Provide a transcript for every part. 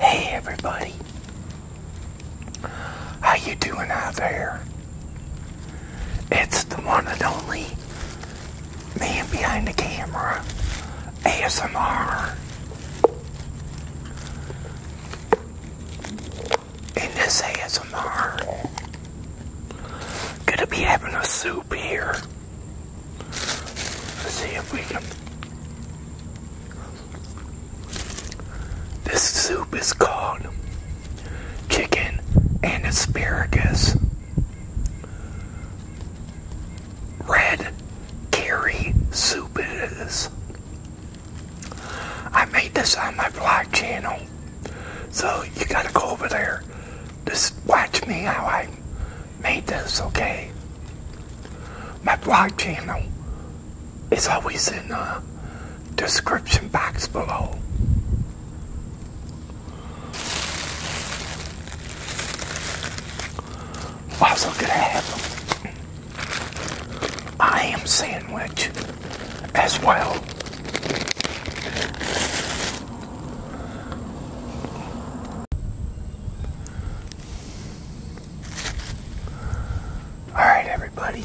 Hey everybody. How you doing out there? It's the one and only man behind the camera. ASMR. and this ASMR Gonna be having a soup here. Let's see if we can. This soup is called chicken and asparagus. Red curry soup it is. I made this on my blog channel. So you gotta go over there. Just watch me how I made this, okay? My blog channel is always in the description box below. Also gonna have I am sandwich as well. All right, everybody.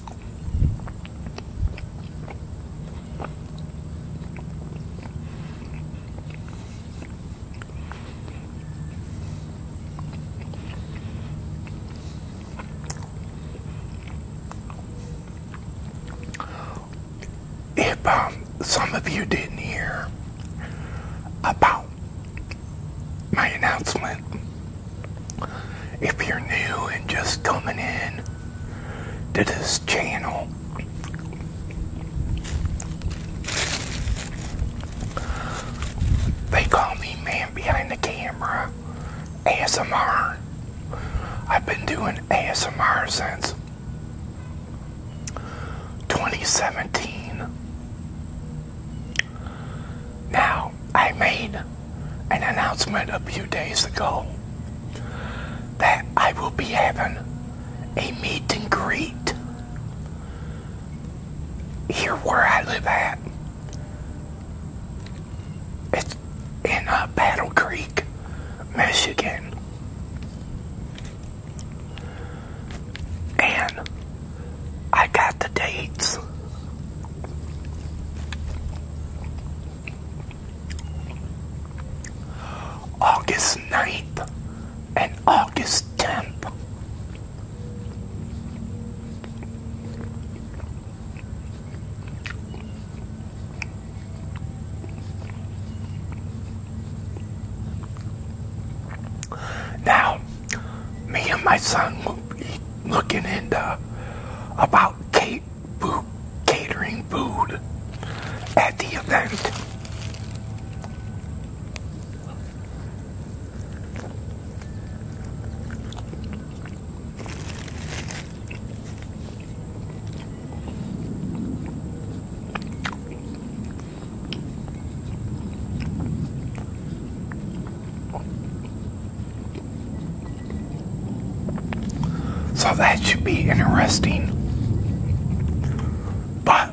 If um, some of you didn't hear about my announcement if you're new and just coming in to this channel, they call me Man Behind the Camera ASMR. I've been doing ASMR since 2017. Now, I made an announcement a few days ago that I will be having a meet and greet here where I live at. It's in uh, Battle Creek, Michigan. And I got the dates. August 9th and August 10th. Now, me and my son will be looking into about Kate food, catering food at the event. So that should be interesting. But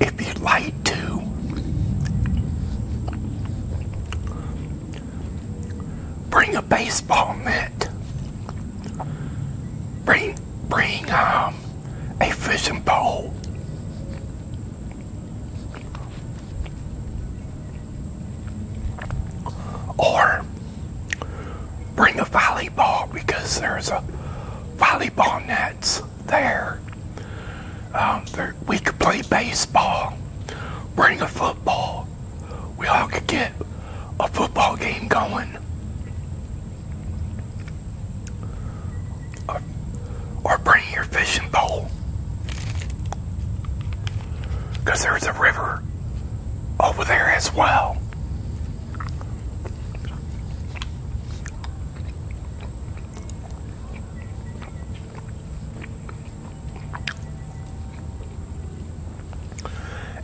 if you'd like to Bring a baseball mitt. Bring bring um a fishing pole. Or bring a volleyball because there's a volleyball nets there. Um, there we could play baseball. Bring a football we all could get a football game going. Or, or bring your fishing pole. Because there's a river over there as well.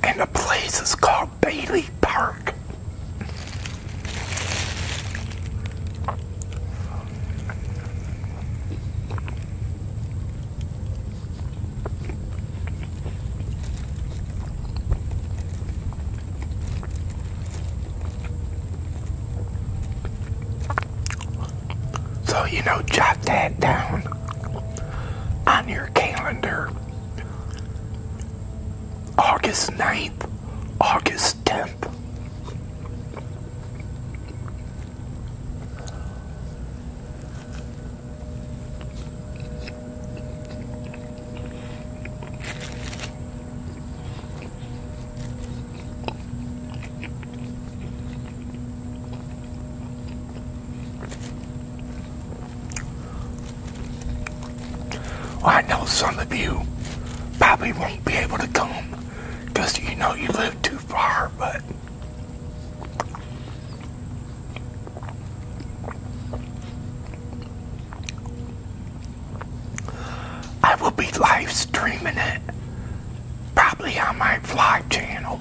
And the place is called Bailey Park. So, you know, jot that down on your calendar. August 9th, August 10th. I know some of you probably won't be able to come because you know you live too far, but. I will be live streaming it probably on my fly channel.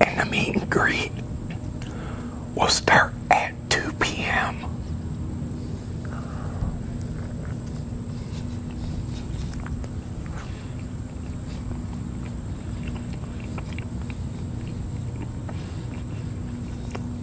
And the meet will start at 2 p.m.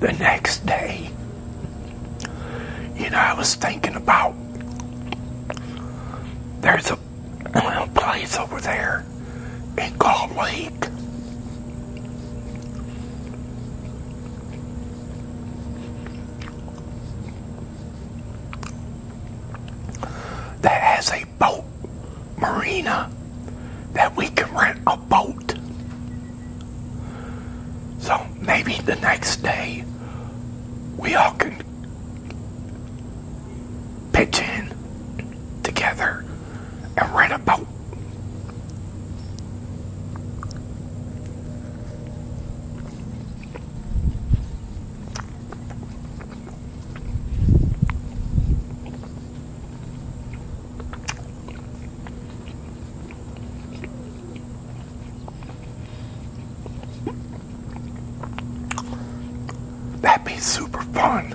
the next day. You know, I was thinking about there's a, a place over there in Gull Lake. That has a boat marina that we can rent boat. So maybe the next day we all can pitch in together and rent a boat. That'd be super fun.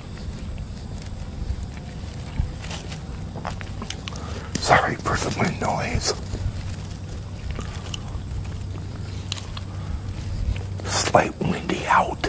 Sorry for the wind noise. Slight windy out.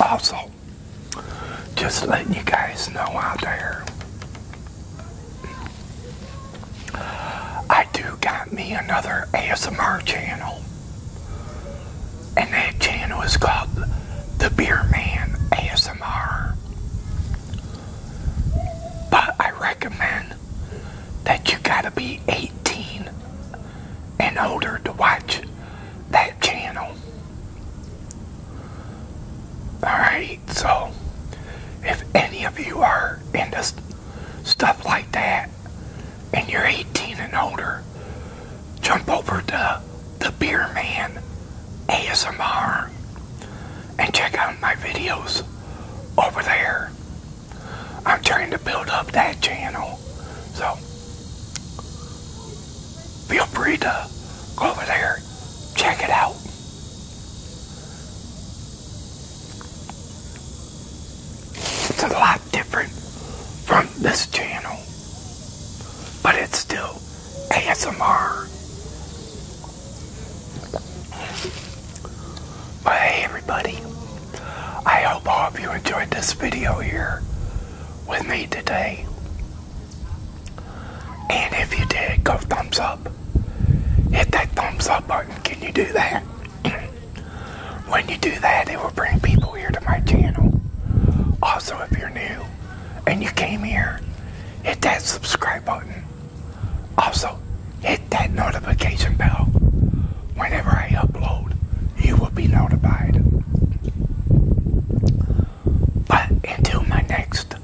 Also, just letting you guys know out there, I do got me another ASMR channel, and that channel is called The Beer Man ASMR. But I recommend that you gotta be 18 and older to watch that channel. Alright, so if any of you are into stuff like that and you're 18 and older, jump over to the Beer Man ASMR and check out my videos over there. I'm trying to build up that channel. So, feel free to go over there, check it out. It's a lot different from this channel, but it's still ASMR hey everybody, I hope all of you enjoyed this video here with me today. And if you did, go thumbs up. Hit that thumbs up button. Can you do that? when you do that, it will bring people here to my channel. Also, if you're new and you came here, hit that subscribe button. Also, hit that notification bell. Whenever I upload, you will be notified. But until my next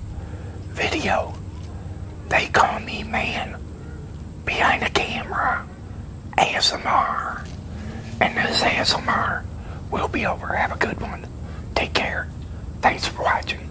video, they call me man behind the camera ASMR. And this ASMR will be over. Have a good one. Take care. Thanks for watching.